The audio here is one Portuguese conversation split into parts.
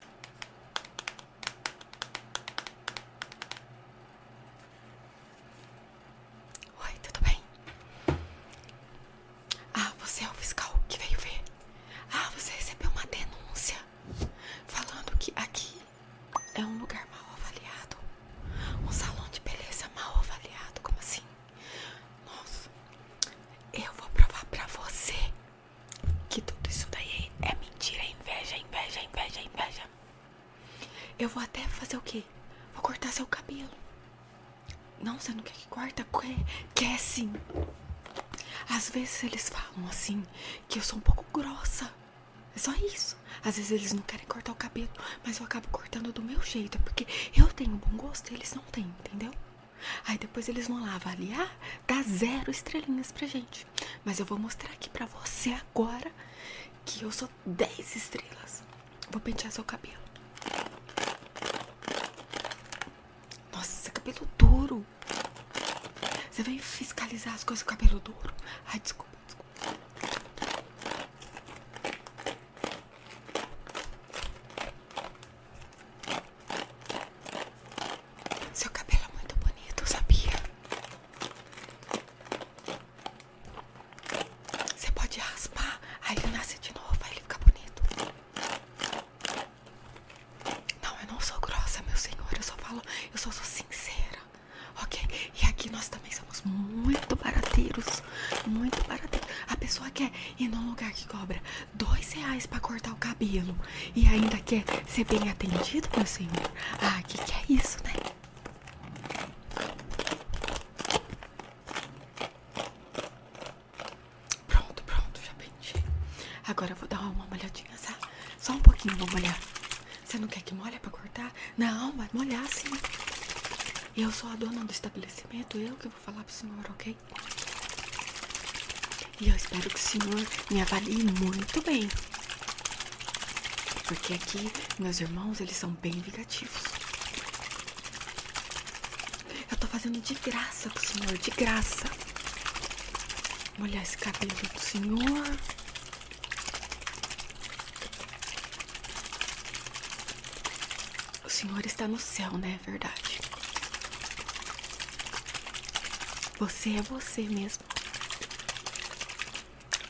Oi, tudo bem? Ah, você é o fiscal que veio ver. Ah, você recebeu uma denúncia falando que aqui é um lugar mal avaliado. Um salão de beleza mal avaliado, como assim? Nossa, eu vou provar pra você que tudo isso daí é mentira, é inveja, inveja, inveja, inveja. Eu vou até fazer o que Vou cortar seu cabelo. Não, você não quer que corta? Quer, quer sim. Às vezes eles falam assim que eu sou um pouco grossa. É só isso. Às vezes eles não querem cortar o cabelo, mas eu acabo cortando do meu jeito. É porque eu tenho bom gosto e eles não têm, entendeu? Aí depois eles vão lá avaliar, dá zero estrelinhas pra gente. Mas eu vou mostrar aqui pra você agora que eu sou 10 estrelas. Vou pentear seu cabelo. Nossa, cabelo duro. Você vem fiscalizar as coisas com cabelo duro. Ai, desculpa, desculpa. Seu cabelo é muito bonito, sabia? Você pode raspar, aí ele nasce de novo, aí ele fica bonito. Não, eu não sou grossa, meu senhor. Eu só falo, eu sou sincera, ok? E aqui nós também somos muito barateiros, muito barateiros. A pessoa quer ir num lugar que cobra dois reais para cortar o cabelo e ainda quer ser bem atendido, meu senhor? Ah, que que é isso, né? Pronto, pronto, já pendi. Agora eu vou dar uma molhadinha, sabe? Só um pouquinho, vou molhar. Você não quer que molhe para cortar? Não, vai molhar sim. Eu sou a dona do estabelecimento, eu que vou falar pro senhor, ok? E eu espero que o Senhor me avalie muito bem. Porque aqui, meus irmãos, eles são bem vingativos. Eu tô fazendo de graça o Senhor, de graça. Molhar esse cabelo do Senhor. O Senhor está no céu, né? É verdade. Você é você mesmo.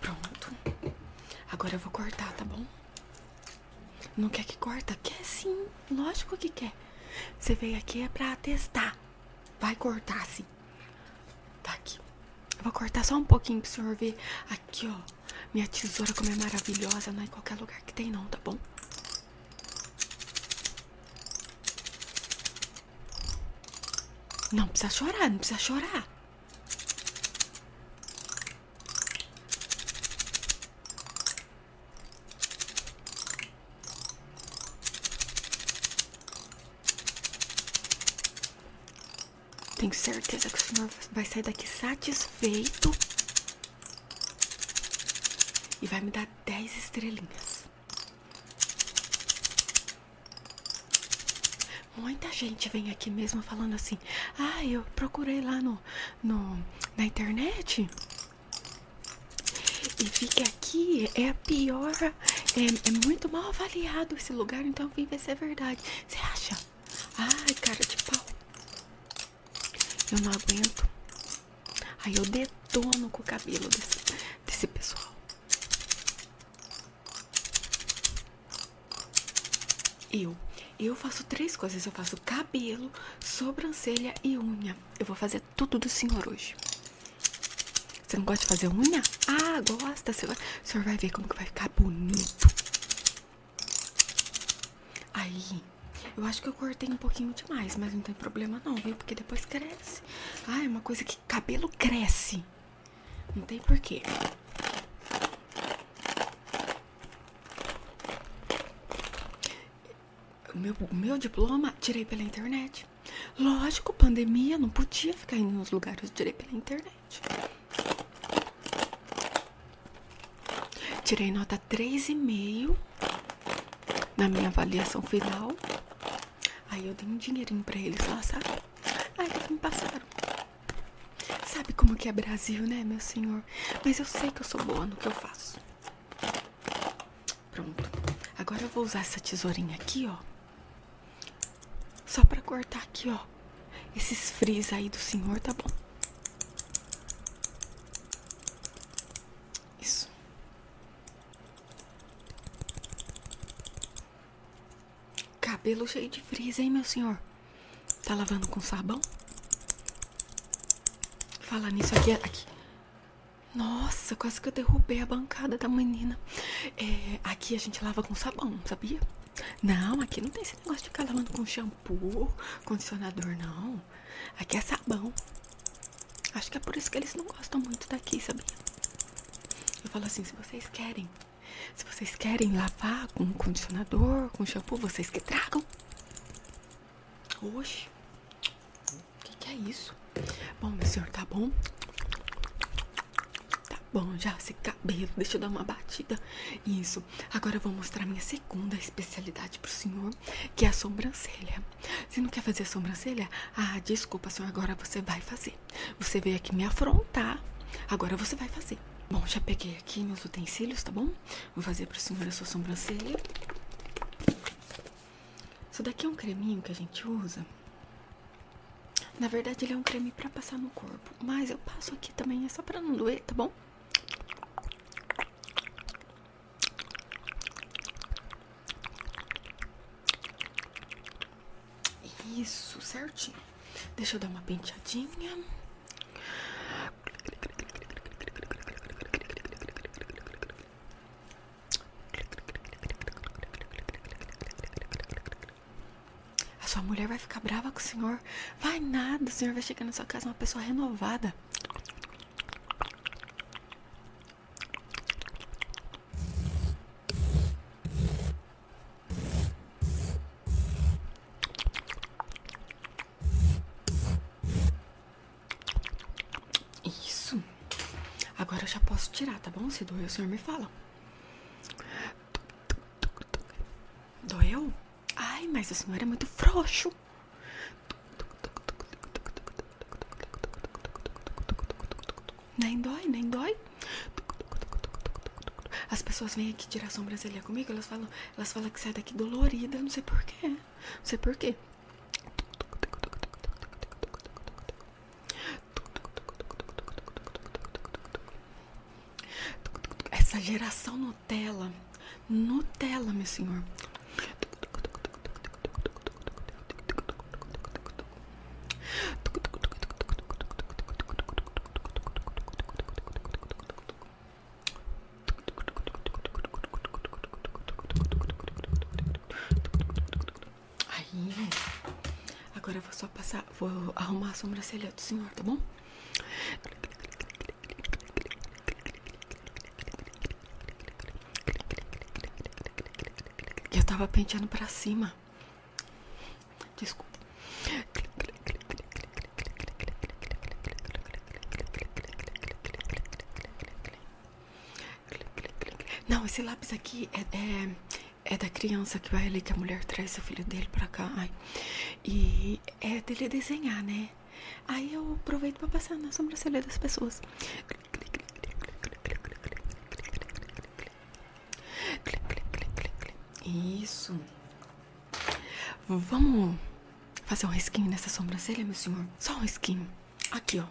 Pronto. Agora eu vou cortar, tá bom? Não quer que corta? Quer sim. Lógico que quer. Você veio aqui é pra testar. Vai cortar sim. Tá aqui. Eu vou cortar só um pouquinho pro senhor ver. Aqui, ó. Minha tesoura como é maravilhosa. Não é em qualquer lugar que tem não, tá bom? Não precisa chorar, não precisa chorar. Tenho certeza que o senhor vai sair daqui satisfeito e vai me dar 10 estrelinhas. Muita gente vem aqui mesmo falando assim: Ah, eu procurei lá no, no, na internet. E vi que aqui é a pior. É, é muito mal avaliado esse lugar, então vim ver se é verdade. Você acha? Ai, cara de pau. Eu não aguento. Aí eu detono com o cabelo desse, desse pessoal. Eu. Eu faço três coisas. Eu faço cabelo, sobrancelha e unha. Eu vou fazer tudo do senhor hoje. Você não gosta de fazer unha? Ah, gosta. Você O senhor vai ver como que vai ficar bonito. Aí, eu acho que eu cortei um pouquinho demais, mas não tem problema não, viu? Porque depois cresce. Ah, é uma coisa que cabelo cresce. Não tem porquê. O meu, meu diploma tirei pela internet. Lógico, pandemia, não podia ficar indo nos lugares, eu tirei pela internet. Tirei nota 3,5 na minha avaliação final. Aí eu dei um dinheirinho pra eles lá, sabe? ai que me passaram. Sabe como que é Brasil, né, meu senhor? Mas eu sei que eu sou boa no que eu faço. Pronto. Agora eu vou usar essa tesourinha aqui, ó. Só pra cortar aqui, ó. Esses frizz aí do senhor, tá bom. Isso. Cabelo cheio de frisa, hein, meu senhor? Tá lavando com sabão? Falar nisso aqui, aqui. Nossa, quase que eu derrubei a bancada da menina. É, aqui a gente lava com sabão, sabia? Não, aqui não tem esse negócio de ficar lavando com shampoo, condicionador, não. Aqui é sabão. Acho que é por isso que eles não gostam muito daqui, sabia? Eu falo assim, se vocês querem, se vocês querem lavar com condicionador, com shampoo, vocês que tragam. Oxe, o que, que é isso? Bom, meu senhor, tá bom? Tá bom, já esse cabelo, deixa eu dar uma batida. Isso, agora eu vou mostrar minha segunda especialidade pro senhor que é a sobrancelha. Se não quer fazer a sobrancelha, ah, desculpa, senhor, agora você vai fazer. Você veio aqui me afrontar, agora você vai fazer. Bom, já peguei aqui meus utensílios, tá bom? Vou fazer pro senhor a sua sobrancelha. Isso daqui é um creminho que a gente usa. Na verdade, ele é um creme pra passar no corpo. Mas eu passo aqui também, é só pra não doer, tá bom? Isso, certinho. Deixa eu dar uma penteadinha. A sua mulher vai ficar brava com o senhor. Vai nada, o senhor vai chegar na sua casa uma pessoa renovada. Isso. Agora eu já posso tirar, tá bom? Se doeu, o senhor me fala. Doeu? Ai, mas o senhor é muito frouxo. Nem dói, nem dói. As pessoas vêm aqui tirar a sobrancelha comigo, elas falam, elas falam que sai daqui dolorida, não sei porquê. Não sei porquê. Essa geração não Nutella. Nutella, meu senhor. Aí, né? agora vou só passar, vou arrumar a sobrancelha do senhor, tá bom? Eu tava penteando pra cima. Desculpa. Não, esse lápis aqui é, é, é da criança que vai ali, que a mulher traz o filho dele pra cá. E é dele desenhar, né? Aí eu aproveito pra passar na sobrancelha das pessoas. Isso. Vamos fazer um risquinho nessa sobrancelha, meu senhor? Só um risquinho. Aqui, ó.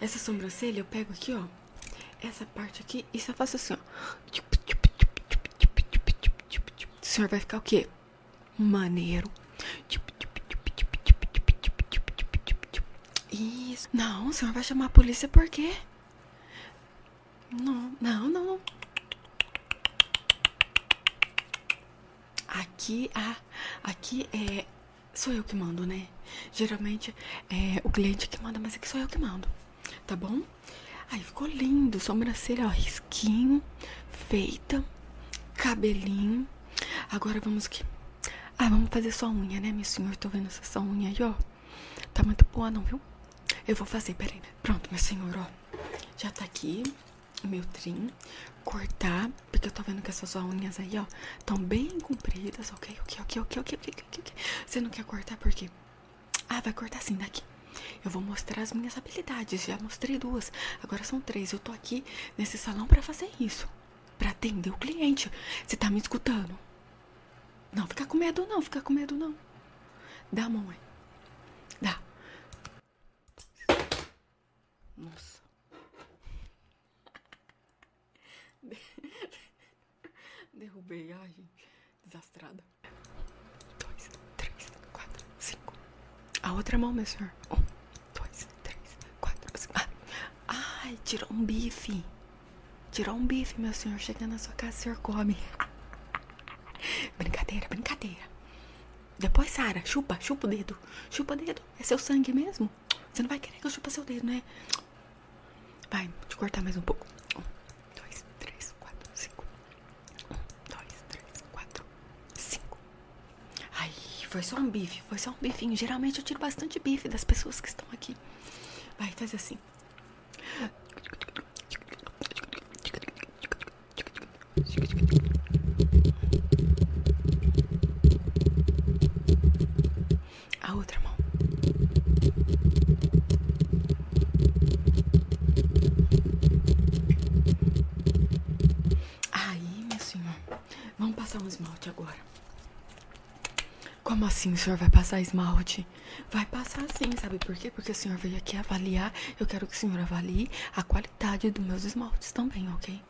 Essa sobrancelha eu pego aqui, ó. Essa parte aqui e só faço assim, ó. senhor vai ficar o quê? Maneiro. Isso. Não, o senhor vai chamar a polícia por quê? Não, não, não, não. Aqui, ah, aqui é. Sou eu que mando, né? Geralmente é o cliente que manda, mas aqui sou eu que mando. Tá bom? Aí ficou lindo, sobrancelha, ó, risquinho, feita, cabelinho. Agora vamos que. Ah, vamos fazer sua unha, né, meu senhor? Tô vendo essa sua unha aí, ó. Tá muito boa, não, viu? Eu vou fazer, peraí. Pronto, meu senhor, ó. Já tá aqui o meu trim. Cortar, porque eu tô vendo que essas unhas aí, ó, tão bem compridas, ok? Ok, ok, ok, ok, ok, ok. Você não quer cortar por quê? Ah, vai cortar assim daqui. Eu vou mostrar as minhas habilidades. Já mostrei duas, agora são três. Eu tô aqui nesse salão para fazer isso. Pra atender o cliente. Você tá me escutando? Não, fica com medo não, fica com medo não. Dá, mamãe. Dá. Nossa. Derrubei, ai, gente. Desastrada dois, três, quatro, cinco. A outra mão, meu senhor. Um, dois, três, quatro, cinco. Ah. Ai, tirou um bife. Tirou um bife, meu senhor. Chegando na sua casa, o senhor come. brincadeira, brincadeira. Depois, Sara, chupa, chupa o dedo. Chupa o dedo. É seu sangue mesmo? Você não vai querer que eu chupa seu dedo, né? Vai, te cortar mais um pouco. Um, dois, três, quatro, cinco. Um, dois, três, quatro, cinco. Ai, foi só um bife, foi só um bife Geralmente eu tiro bastante bife das pessoas que estão aqui. Vai, faz assim. A outra mão. Aí, minha senhora, vamos passar um esmalte agora. Como assim o senhor vai passar esmalte? Vai passar sim, sabe por quê? Porque o senhor veio aqui avaliar. Eu quero que o senhor avalie a qualidade dos meus esmaltes também, ok?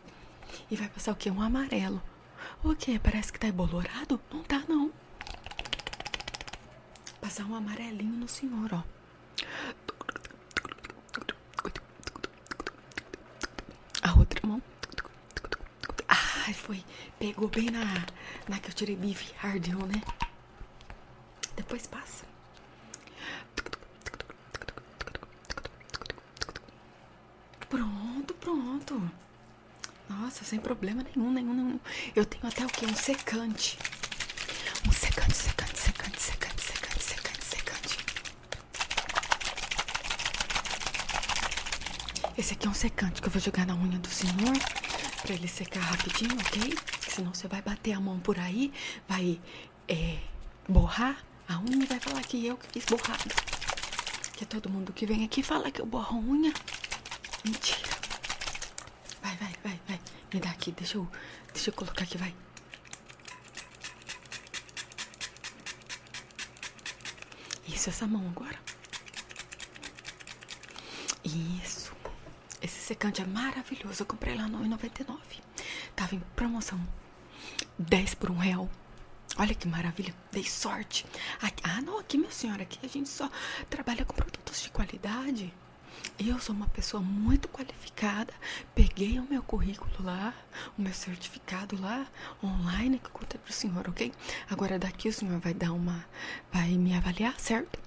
E vai passar o quê? Um amarelo. O quê? Parece que tá embolorado? Não tá, não. Passar um amarelinho no senhor, ó. A outra mão. Ai, foi. Pegou bem na, na que eu tirei bife. Ardeu, né? Depois passa. Pronto, pronto. Nossa, sem problema nenhum, nenhum, nenhum. Eu tenho até o que? Um secante. Um secante, secante, secante, secante, secante, secante, secante. Esse aqui é um secante que eu vou jogar na unha do senhor. Pra ele secar rapidinho, ok? Senão você vai bater a mão por aí, vai é, borrar a unha e vai falar que eu que fiz borrado. Que todo mundo que vem aqui fala que eu borro unha. Mentira. Vai, vai, vai, vai. Me dá aqui, deixa eu, deixa eu colocar aqui, vai. Isso, essa mão agora. Isso. Esse secante é maravilhoso. Eu comprei lá no 99. Tava em promoção. 10 por um real. Olha que maravilha. Dei sorte. ah, não. Aqui, minha senhora, aqui a gente só trabalha com produtos de qualidade. Eu sou uma pessoa muito qualificada. Peguei o meu currículo lá, o meu certificado lá, online, que eu pro senhor, ok? Agora daqui o senhor vai dar uma. Vai me avaliar, certo?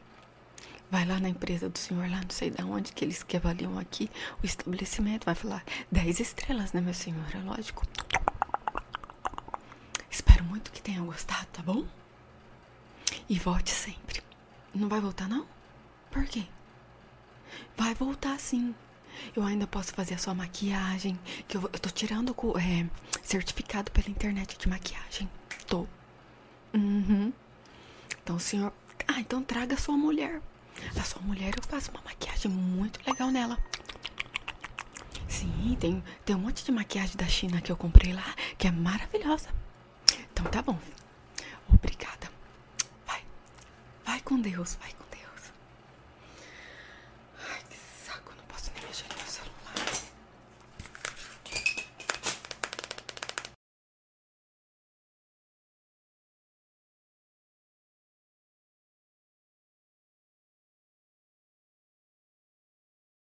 Vai lá na empresa do senhor, lá não sei de onde, que eles que avaliam aqui o estabelecimento. Vai falar 10 estrelas, né, meu senhor? É lógico. Espero muito que tenham gostado, tá bom? E volte sempre. Não vai voltar, não? Por quê? Vai voltar sim. Eu ainda posso fazer a sua maquiagem. Que eu, eu tô tirando é, certificado pela internet de maquiagem. Tô. Uhum. Então, senhor. Ah, então traga a sua mulher. A sua mulher eu faço uma maquiagem muito legal nela. Sim, tem tem um monte de maquiagem da China que eu comprei lá, que é maravilhosa. Então tá bom. Obrigada. Vai. Vai com Deus, vai com Deus. Ai, que saco, não posso nem mexer no meu celular.